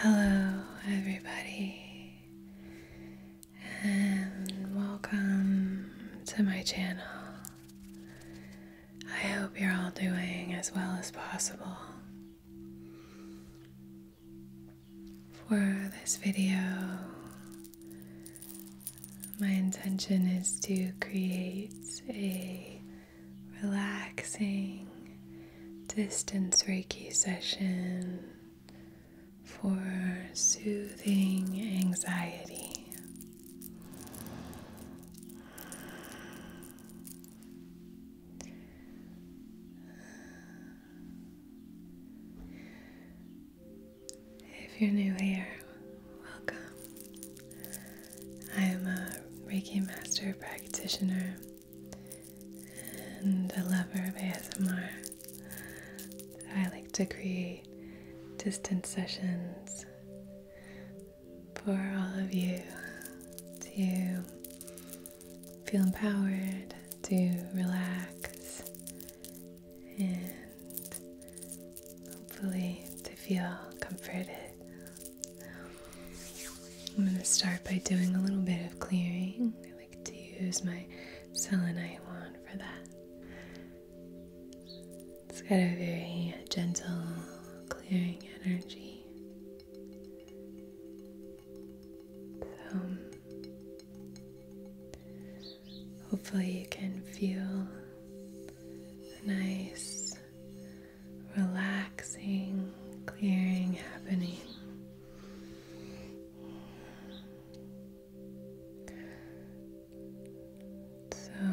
Hello, everybody, and welcome to my channel. I hope you're all doing as well as possible. For this video, my intention is to create a relaxing distance Reiki session for soothing anxiety. If you're new here, welcome. I am a Reiki Master Practitioner and a lover of ASMR. I like to create distance sessions for all of you to feel empowered, to relax, and hopefully to feel comforted. I'm going to start by doing a little bit of clearing. I like to use my selenite wand for that. It's got a very gentle, clearing energy. So, hopefully, you can feel nice relaxing, clearing happening. So,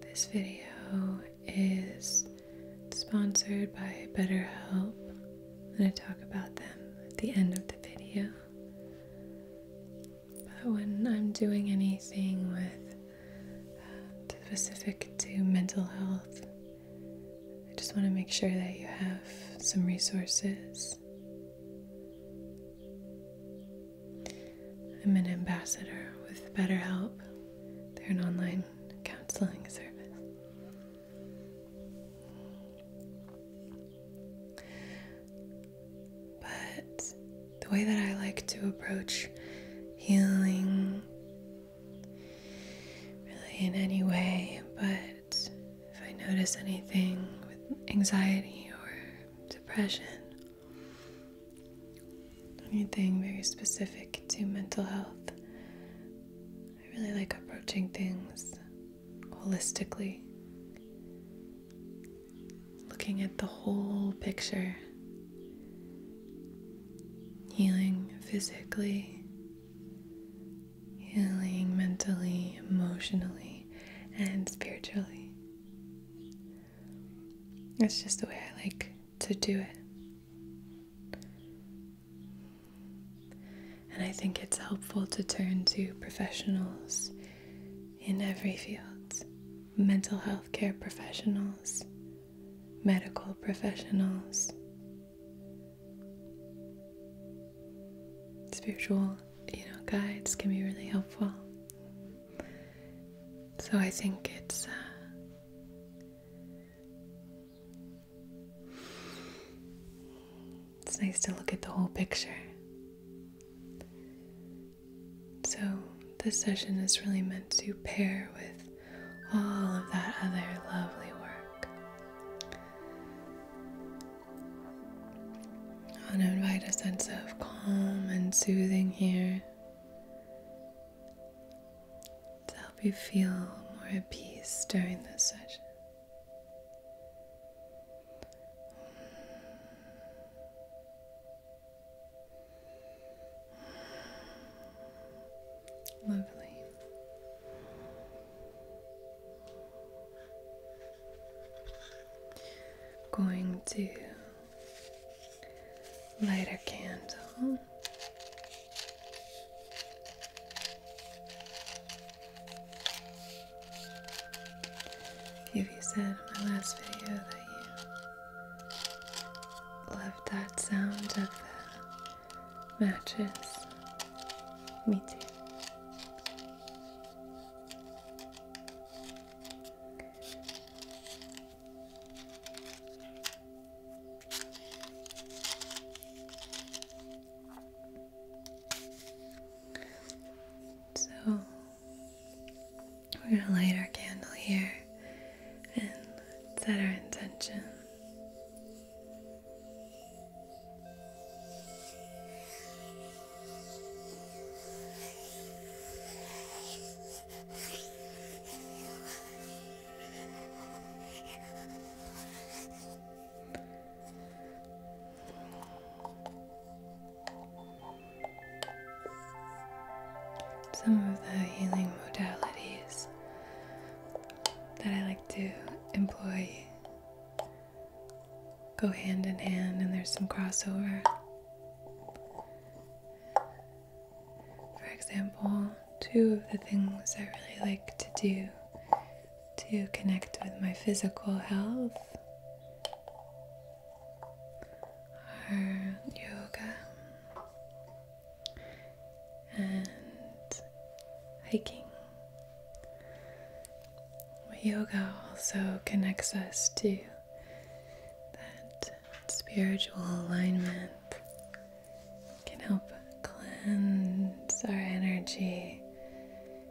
this video is sponsored by BetterHelp, and I talk about them at the end of the video. But when I'm doing anything with specific to mental health, I just want to make sure that you have some resources. I'm an ambassador with BetterHelp. They're an online counseling service. But the way that I like to approach healing, really in any way, but if I notice anything with anxiety or depression, anything very specific to mental health, I really like approaching things holistically looking at the whole picture, healing physically, healing mentally, emotionally, and spiritually. That's just the way I like to do it. And I think it's helpful to turn to professionals in every field mental health care professionals, medical professionals, spiritual, you know, guides can be really helpful. So I think it's uh, it's nice to look at the whole picture. So, this session is really meant to pair with all of that other lovely work. I want to invite a sense of calm and soothing here to help you feel more at peace during this session. Lovely. Going to light a candle if you said in my last video that you loved that sound of the matches. Me too. So we're gonna light our candle here and set our intention. Some of the healing modalities that I like to employ go hand in hand, and there's some crossover. For example, two of the things I really like to do to connect with my physical health our yoga and hiking. Yoga also connects us to that spiritual alignment, can help cleanse our energy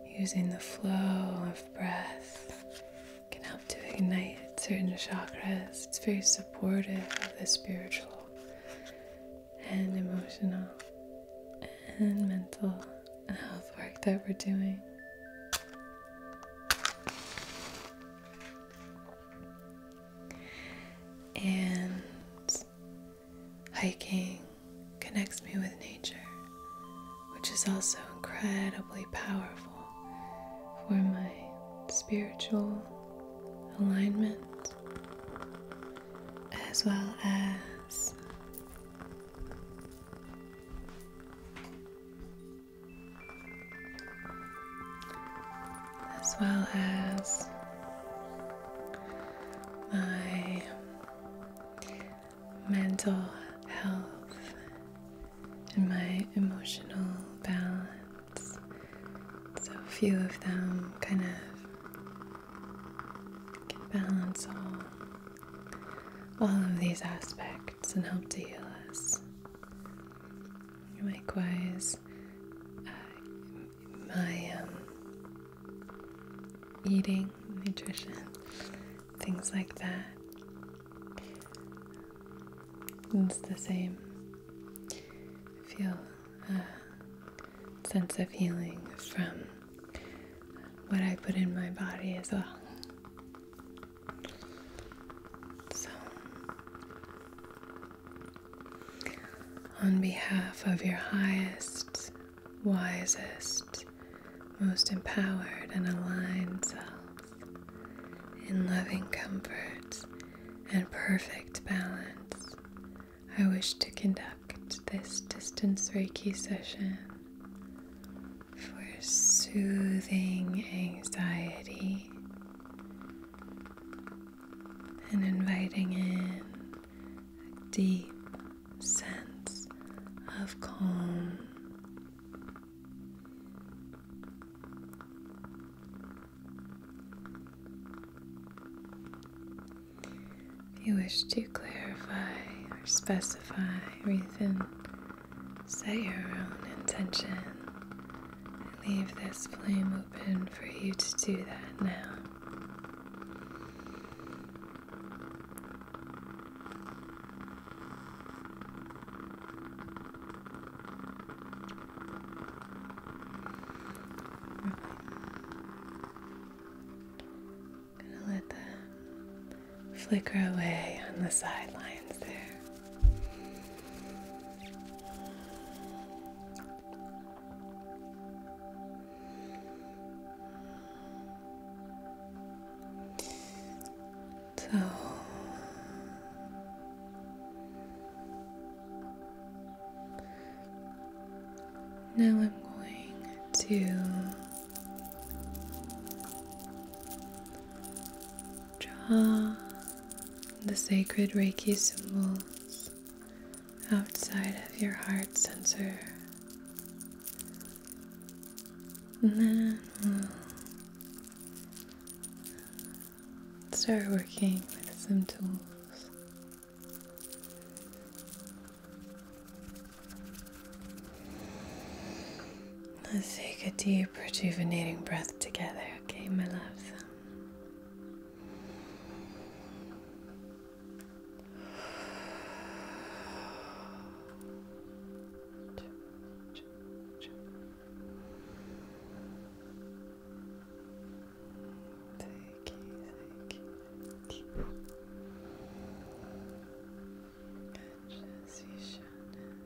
using the flow of breath can help to ignite certain chakras. It's very supportive of the spiritual and emotional and mental health work that we're doing. And hiking connects me with nature, which is also incredibly powerful for my spiritual alignment as well as as well as my mental health and my emotional balance. So, few of them kind of can balance all, all of these aspects and help to heal us. Likewise, uh, my um, eating, nutrition, things like that. It's the same. Feel a sense of healing from what I put in my body as well. So, on behalf of your highest, wisest, most empowered, and aligned self, in loving comfort and perfect balance. I wish to conduct this distance Reiki session for soothing anxiety and inviting in a deep sense of calm if you wish to clarify or specify or even set your own intention, leave this flame open for you to do that now gonna let that flicker away on the sidelines there. So now I'm going to draw the sacred Reiki symbols outside of your heart sensor. And then we'll start working with some tools. Let's take a deep, rejuvenating breath together, okay, my love? Take it, take it. Catch vision. Relax.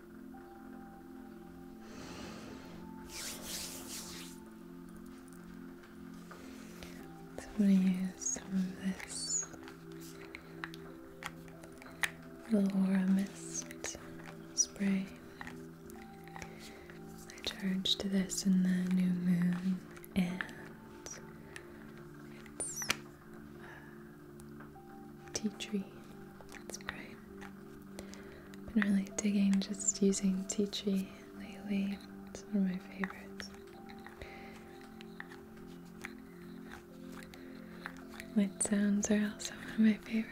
So i use some of this little aura mist spray. I charged this in the new moon and it's uh, tea tree. That's great. I've been really digging just using tea tree lately. It's one of my favorites. Light sounds are also one of my favorites.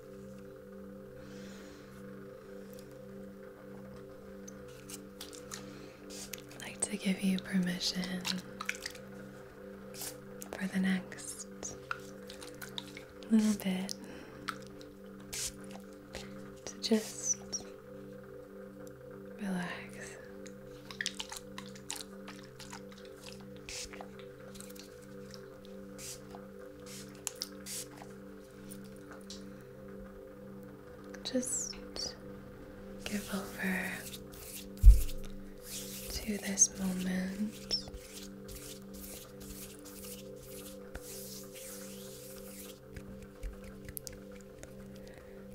I'd like to give you permission for the next little bit to just relax. Just give over to this moment.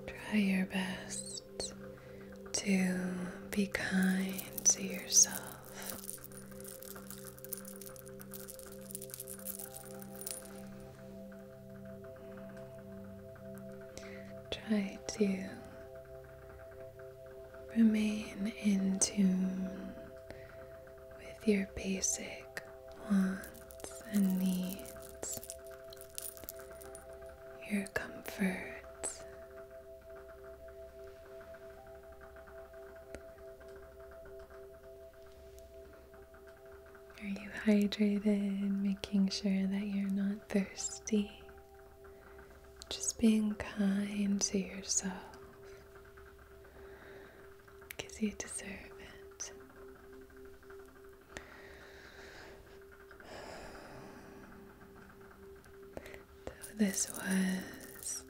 Try your best to be kind to yourself. Try to remain in tune with your basic wants and needs, your comforts. Are you hydrated? Making sure that you're not thirsty. Just being kind to yourself because you deserve it. this was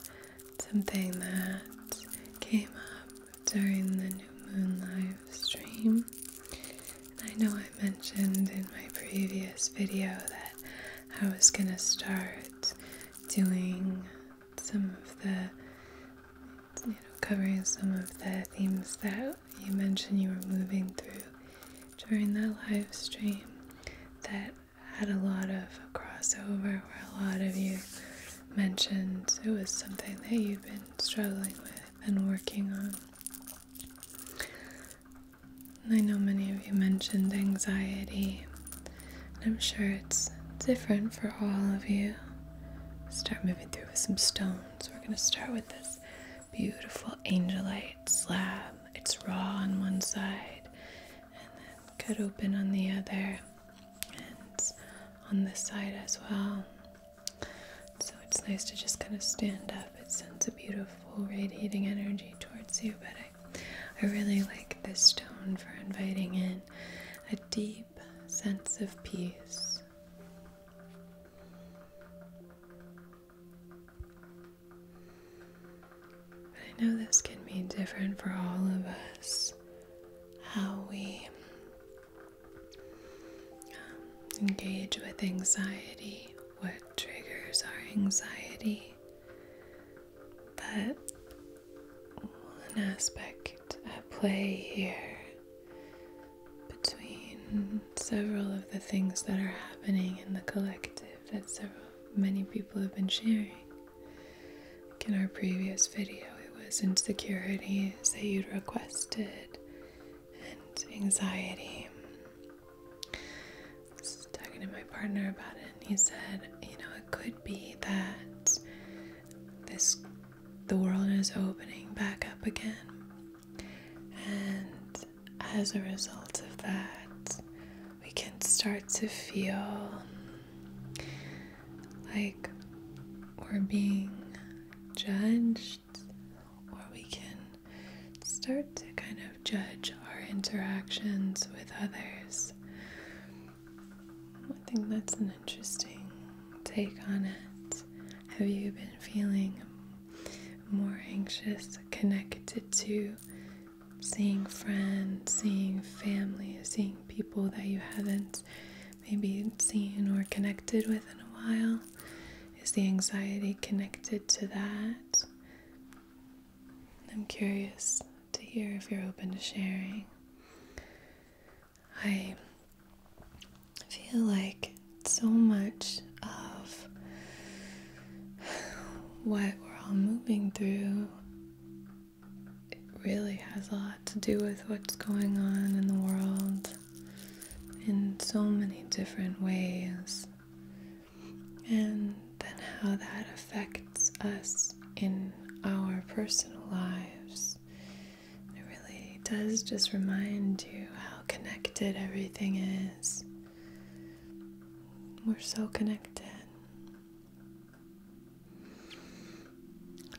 something that came up during the new moon live stream. I know I mentioned in my previous video that I was going to start doing some of the, you know, covering some of the themes that you mentioned you were moving through during that live stream that had a lot of crossover where a lot of you mentioned it was something that you've been struggling with and working on. I know many of you mentioned anxiety. And I'm sure it's different for all of you. Start moving through with some stones. We're going to start with this beautiful angelite slab. It's raw on one side and then cut open on the other and on this side as well. So it's nice to just kind of stand up. It sends a beautiful radiating energy towards you, but I, I really like this stone for inviting in a deep sense of peace. I know this can be different for all of us how we um, engage with anxiety, what triggers our anxiety. But one aspect at play here between several of the things that are happening in the collective that so many people have been sharing in our previous video, it was insecurities that you'd requested and anxiety. I was talking to my partner about it, and he said, You know, it could be that this the world is opening back up again. And as a result of that, we can start to feel like we're being judged, or we can start to kind of judge our interactions with others. I think that's an interesting take on it. Have you been feeling more anxious, connected to seeing friends, seeing family, seeing people that you haven't maybe seen or connected with in a while? Is the anxiety connected to that? I'm curious to hear if you're open to sharing. I feel like so much of what we're all moving through it really has a lot to do with what's going on in the world in so many different ways, and then how that affects us in our personal lives. It really does just remind you how connected everything is. We're so connected.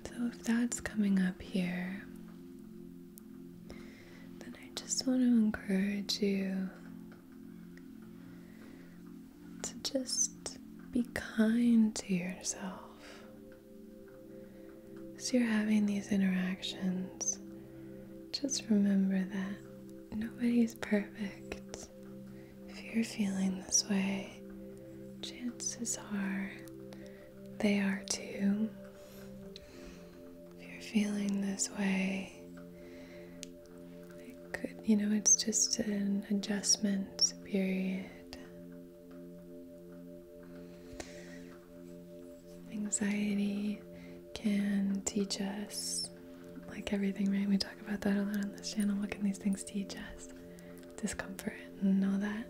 So, if that's coming up here, then I just want to encourage you to just be kind to yourself as you're having these interactions. Just remember that nobody is perfect. If you're feeling this way, chances are they are too. If you're feeling this way, it could, you know, it's just an adjustment period. Anxiety can teach us, like everything, right? We talk about that a lot on this channel. What can these things teach us? discomfort and all that.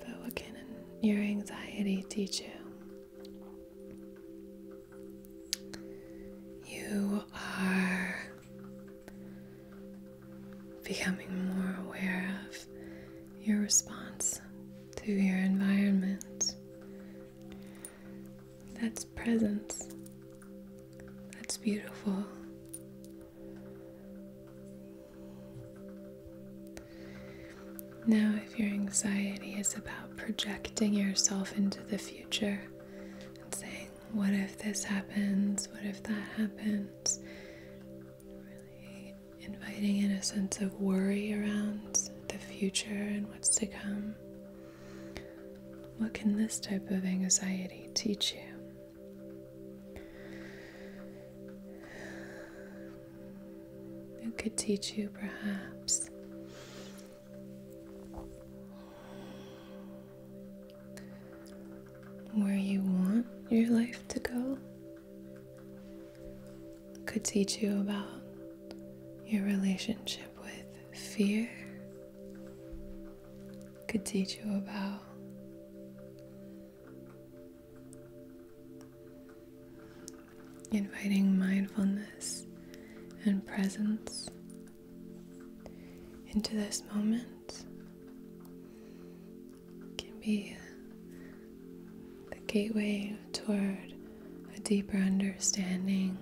But what can your anxiety teach you? You are becoming more aware of your response to your environment. That's presence. That's beautiful. Now, if your anxiety is about projecting yourself into the future and saying, What if this happens? What if that happens? inviting in a sense of worry around the future and what's to come. What can this type of anxiety teach you? It could teach you perhaps where you want your life to go, could teach you about your relationship with fear could teach you about. Inviting mindfulness and presence into this moment can be the gateway toward a deeper understanding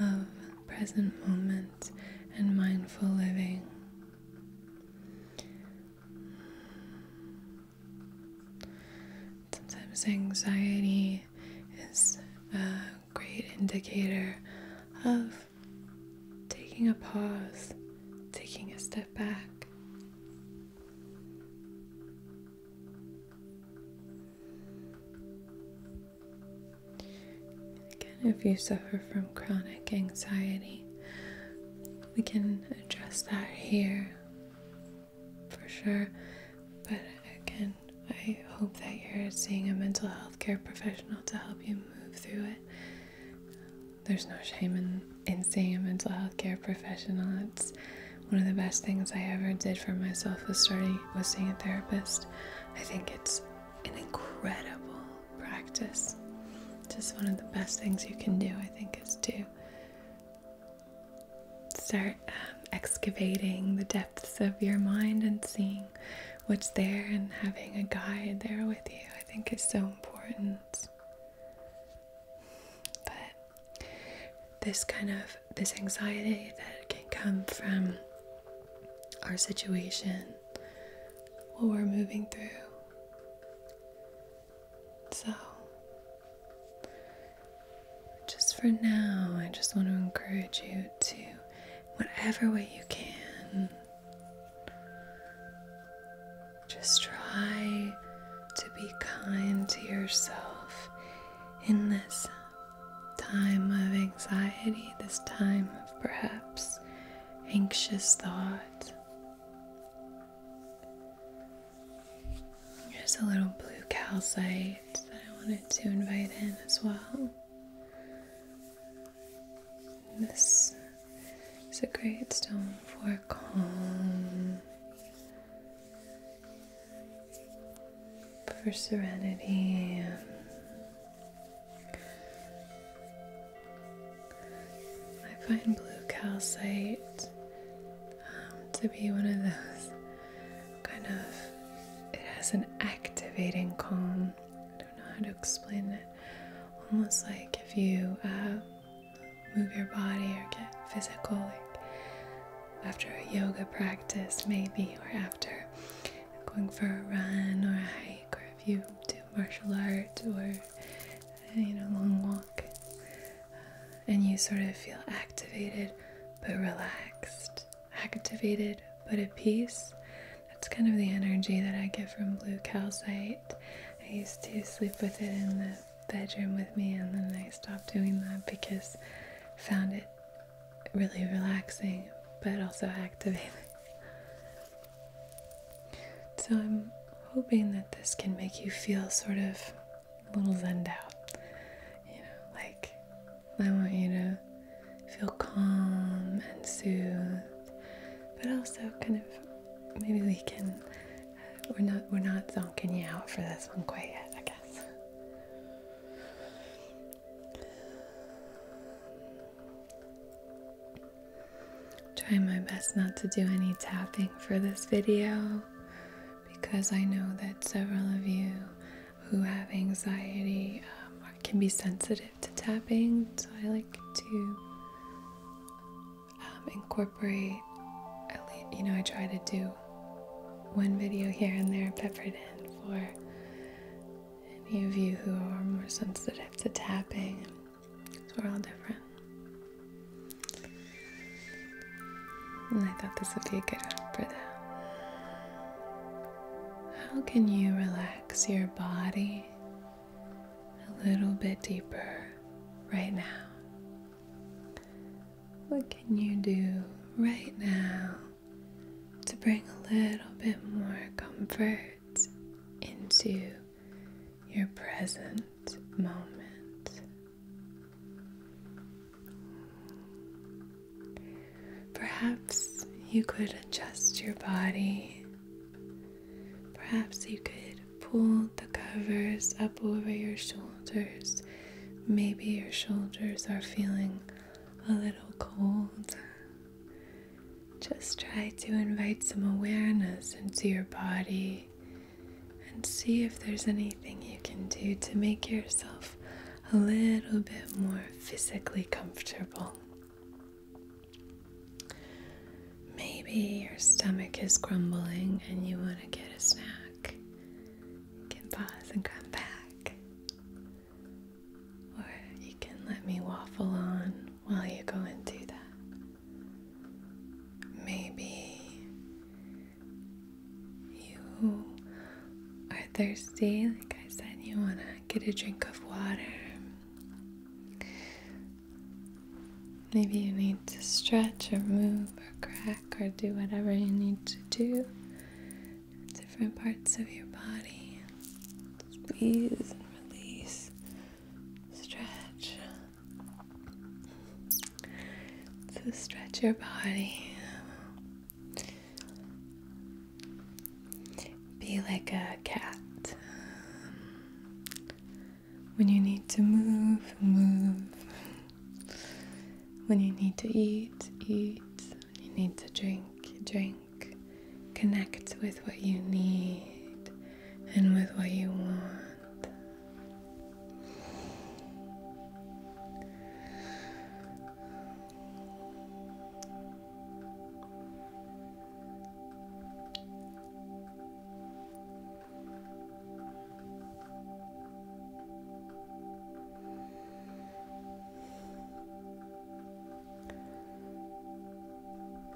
of present moment and mindful living. Sometimes anxiety is a great indicator of taking a pause, taking a step back. Again, if you suffer from chronic anxiety, we can address that here for sure. But again, I hope that you're seeing a mental health care professional to help you move through it. There's no shame in, in seeing a mental health care professional. It's one of the best things I ever did for myself was starting was seeing a therapist. I think it's an incredible practice. Just one of the best things you can do, I think, is to start um, excavating the depths of your mind and seeing what's there and having a guide there with you, I think, is so important. But this kind of this anxiety that can come from our situation what we're moving through. So, just for now, I just want to encourage you to, whatever way you can, just try to be kind to yourself in this time of anxiety, this time of perhaps anxious thought. Here's a little blue calcite that I wanted to invite in as well. this is a great stone for calm, for serenity. I find blue calcite um, to be one of those kind of, it has an activating calm. I don't know how to explain it. Almost like if you uh, move your body or get physical, like after a yoga practice, maybe, or after going for a run or a hike or if you do martial art or you know long walk and you sort of feel activated but relaxed activated but at peace that's kind of the energy that i get from blue calcite i used to sleep with it in the bedroom with me and then i stopped doing that because i found it really relaxing but also activating So I'm hoping that this can make you feel sort of a little zened out. You know, like I want you to feel calm and soothed, but also kind of maybe we can. Uh, we're not we're not zonking you out for this one quite yet, I guess. Trying my best not to do any tapping for this video because I know that several of you who have anxiety um, can be sensitive to tapping, so I like to um, incorporate, at least, you know, I try to do one video here and there peppered in for any of you who are more sensitive to tapping, we're all different. And I thought this would be a good one for that. How can you relax your body a little bit deeper right now? What can you do right now to bring a little bit more comfort into your present moment. Perhaps you could adjust your body. Perhaps you could pull the covers up over your shoulders. Maybe your shoulders are feeling a little cold. Just try to invite some awareness into your body and see if there's anything you can do to make yourself a little bit more physically comfortable. Maybe your stomach is grumbling and you want to get a snack. can pause and come back. Or you can let me waffle on while you go and do that. Maybe you are thirsty, like I said, you want to get a drink of water. Maybe you need to stretch or move or crack or do whatever you need to do. Different parts of your body squeeze and release, stretch. So stretch your body. Be like a cat. When you need to move, move. When you need to eat, eat. you need to drink, drink connect with what you need and with what you want.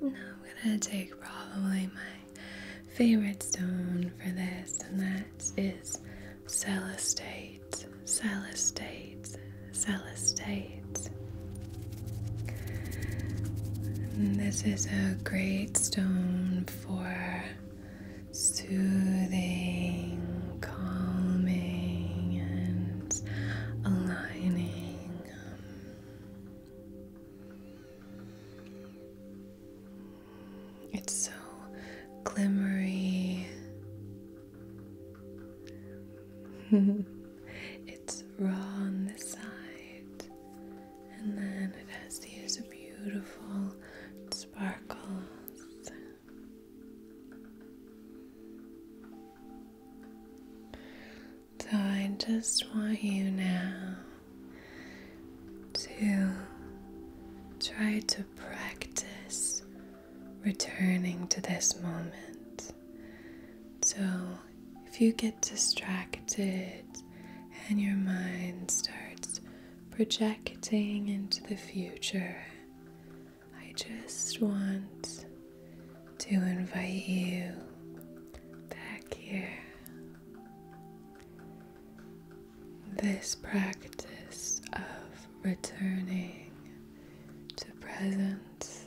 Now I'm gonna take probably my favorite stone for this, and that is celestite, celestite, celestite. this is a great stone for soothing calming and aligning. It's so glimmery. it's raw on the side, and then it has these beautiful sparkles. So I just want you now to try to practice returning to this moment. So if you get distracted and your mind starts projecting into the future, I just want to invite you back here. This practice of returning to presence,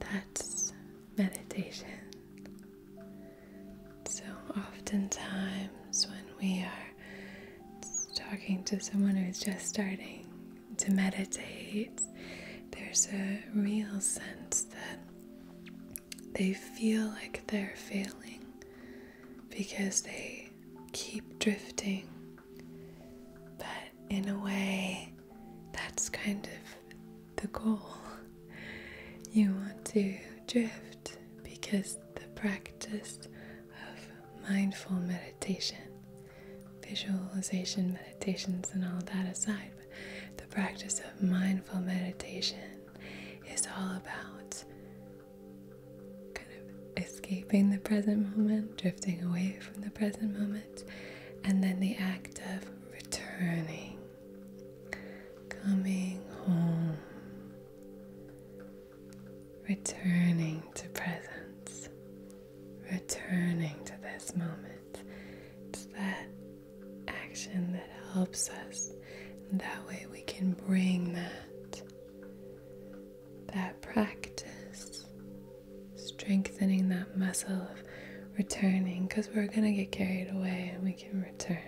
that's meditation. So, oftentimes, when we are talking to someone who's just starting to meditate, there's a real sense that they feel like they're failing because they keep drifting. But in a way, that's kind of the goal. You want to drift because the practice of mindful meditation, visualization meditations, and all that aside, the practice of mindful meditation is all about kind of escaping the present moment, drifting away from the present moment, and then the act of returning, coming home returning to presence, returning to this moment. that action that helps us. that way we can bring that, that practice, strengthening that muscle of returning because we're going to get carried away and we can return.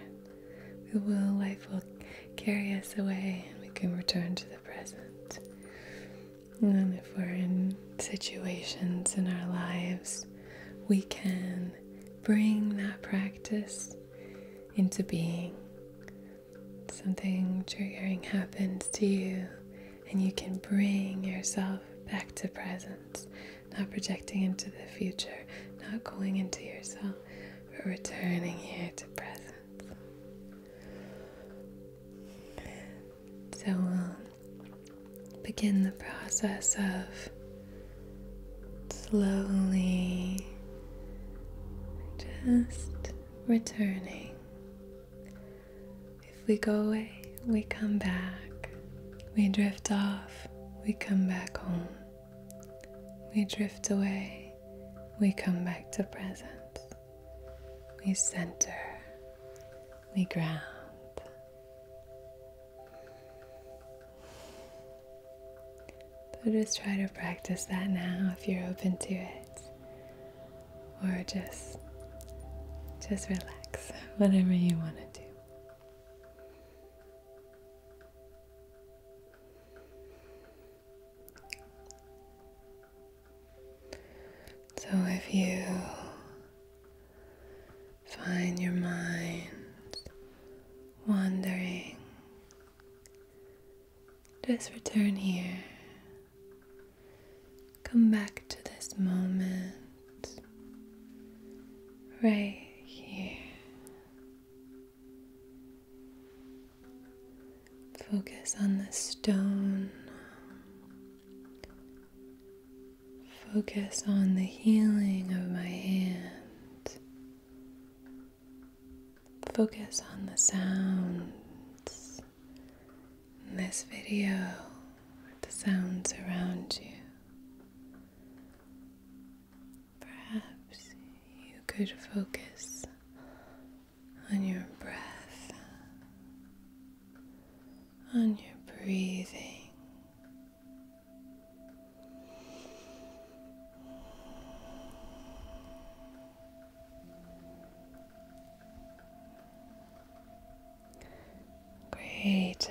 The will, life will carry us away and we can return to present. And if we're in situations in our lives, we can bring that practice into being. Something triggering happens to you, and you can bring yourself back to present, not projecting into the future, not going into yourself, but returning here to present. So we'll um, begin the process of slowly just returning. If we go away, we come back. We drift off, we come back home. We drift away, we come back to presence we center, we ground. So just try to practice that now if you're open to it. Or just just relax, whatever you want to do. So if you find your mind wandering, just return here. Come back to this moment right here. Focus on the stone. Focus on the healing of my hand. Focus on the sounds in this video, the sounds around you. Perhaps you could focus on your breath, on your breathing. Great job.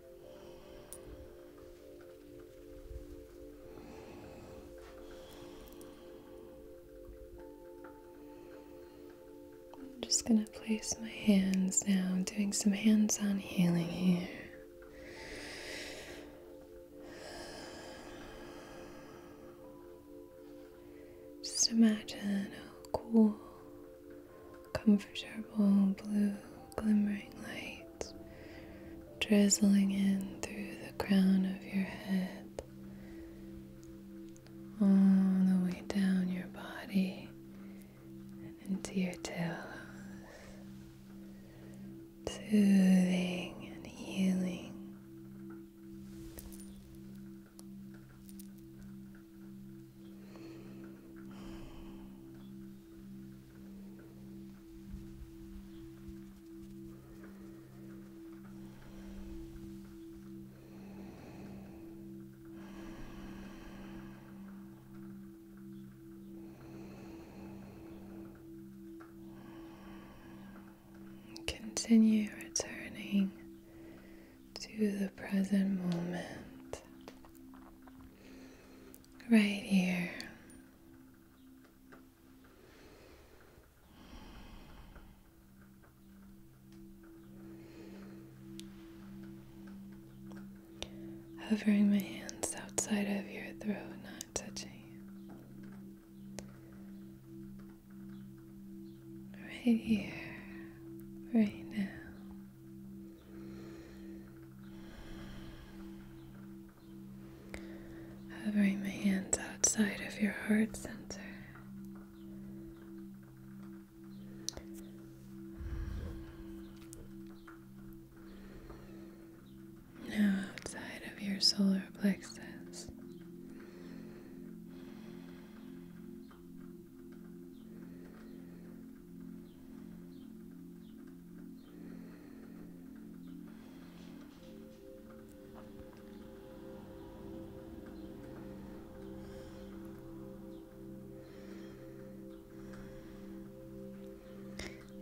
I'm just going to place my hands now, doing some hands on healing here. Just imagine a cool, comfortable blue glimmering light drizzling in through the crown of your head, all the way down your body into your tail, Soothing and healing. Continue returning to the present moment, right here. Hovering my hands outside of your throat, not touching Right here, right now. Hovering my hands outside of your heart center. Now outside of your solar plexus.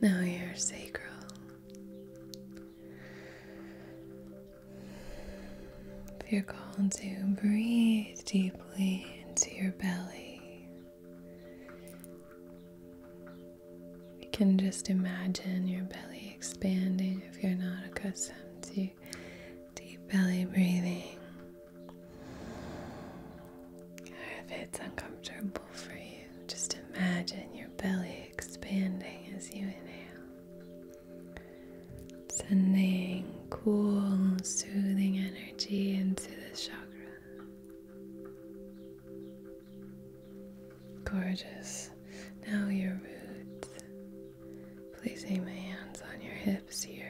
Now your sacral if you're called to breathe deeply into your belly you can just imagine your belly expanding if you're not accustomed to deep belly breathing. Or if it's uncomfortable for you, just imagine your belly expanding as you inhale, sending cool, soothing energy into this chakra. Gorgeous. Now your roots. place my hands on your hips here.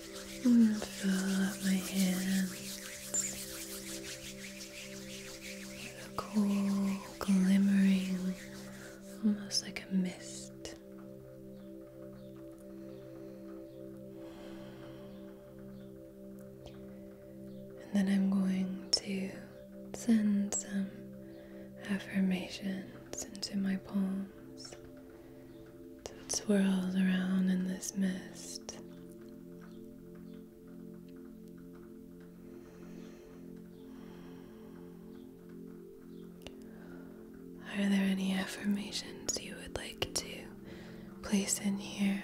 And fill up my hands with a cool, glimmering, almost like a mist. And then I'm going to send some affirmations into my palms. So it swirls around in this mist. Are there any affirmations you would like to place in here?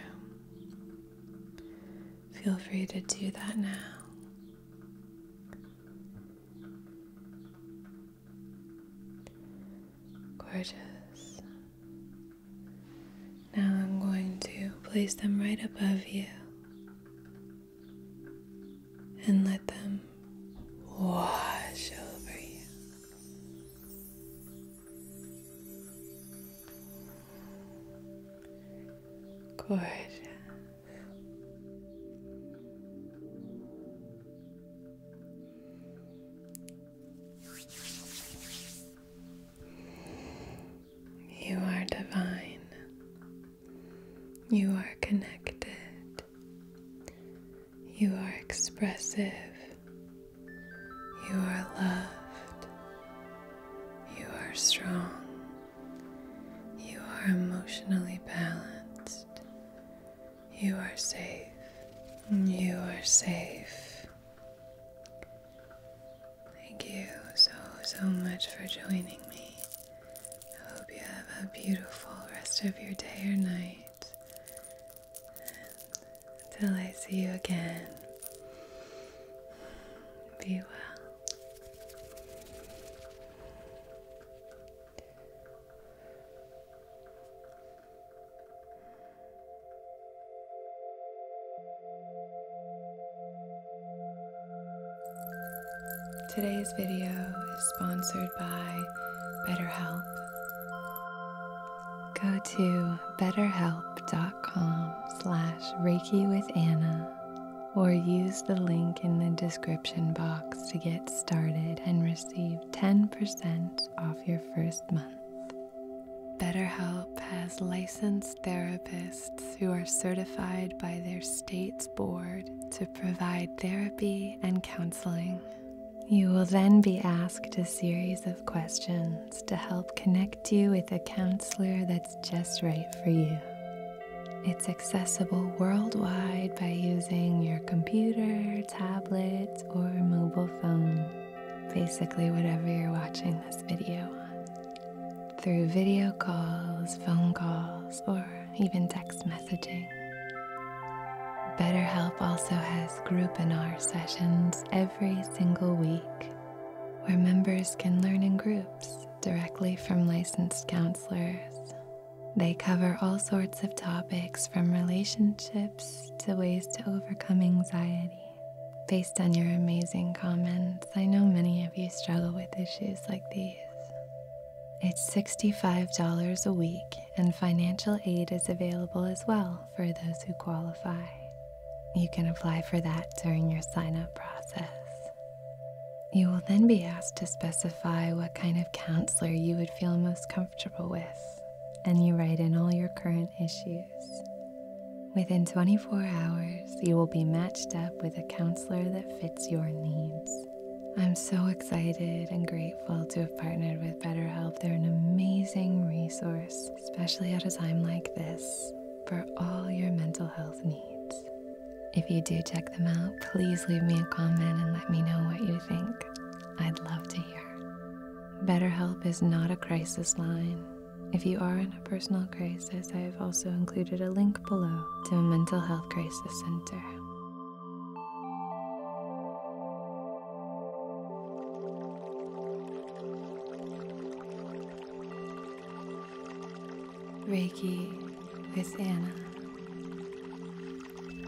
Feel free to do that now. Gorgeous. Now I'm going to place them right above you and let them wash over you. Gorgeous. You are divine. You are connected. You are expressive. You are loved. You are strong. You are emotionally balanced. You are safe. You are safe. Thank you so, so much for joining me. I hope you have a beautiful rest of your day or night. until I see you again, be well. Today's video is sponsored by BetterHelp. Go to betterhelp.com slash Reiki with Anna or use the link in the description box to get started and receive 10% off your first month. BetterHelp has licensed therapists who are certified by their state's board to provide therapy and counseling. You will then be asked a series of questions to help connect you with a counselor that's just right for you. It's accessible worldwide by using your computer, tablet, or mobile phone basically whatever you're watching this video on, through video calls, phone calls, or even text messaging. BetterHelp also has group and R sessions every single week where members can learn in groups directly from licensed counselors. They cover all sorts of topics from relationships to ways to overcome anxiety. Based on your amazing comments, I know many of you struggle with issues like these. It's $65 a week, and financial aid is available as well for those who qualify. You can apply for that during your sign up process. You will then be asked to specify what kind of counselor you would feel most comfortable with, and you write in all your current issues. Within 24 hours, you will be matched up with a counselor that fits your needs. I'm so excited and grateful to have partnered with BetterHelp. They're an amazing resource, especially at a time like this, for all your mental health needs. If you do check them out, please leave me a comment and let me know what you think. I'd love to hear. BetterHelp is not a crisis line. If you are in a personal crisis, I have also included a link below to a mental health crisis center. Reiki with Anna.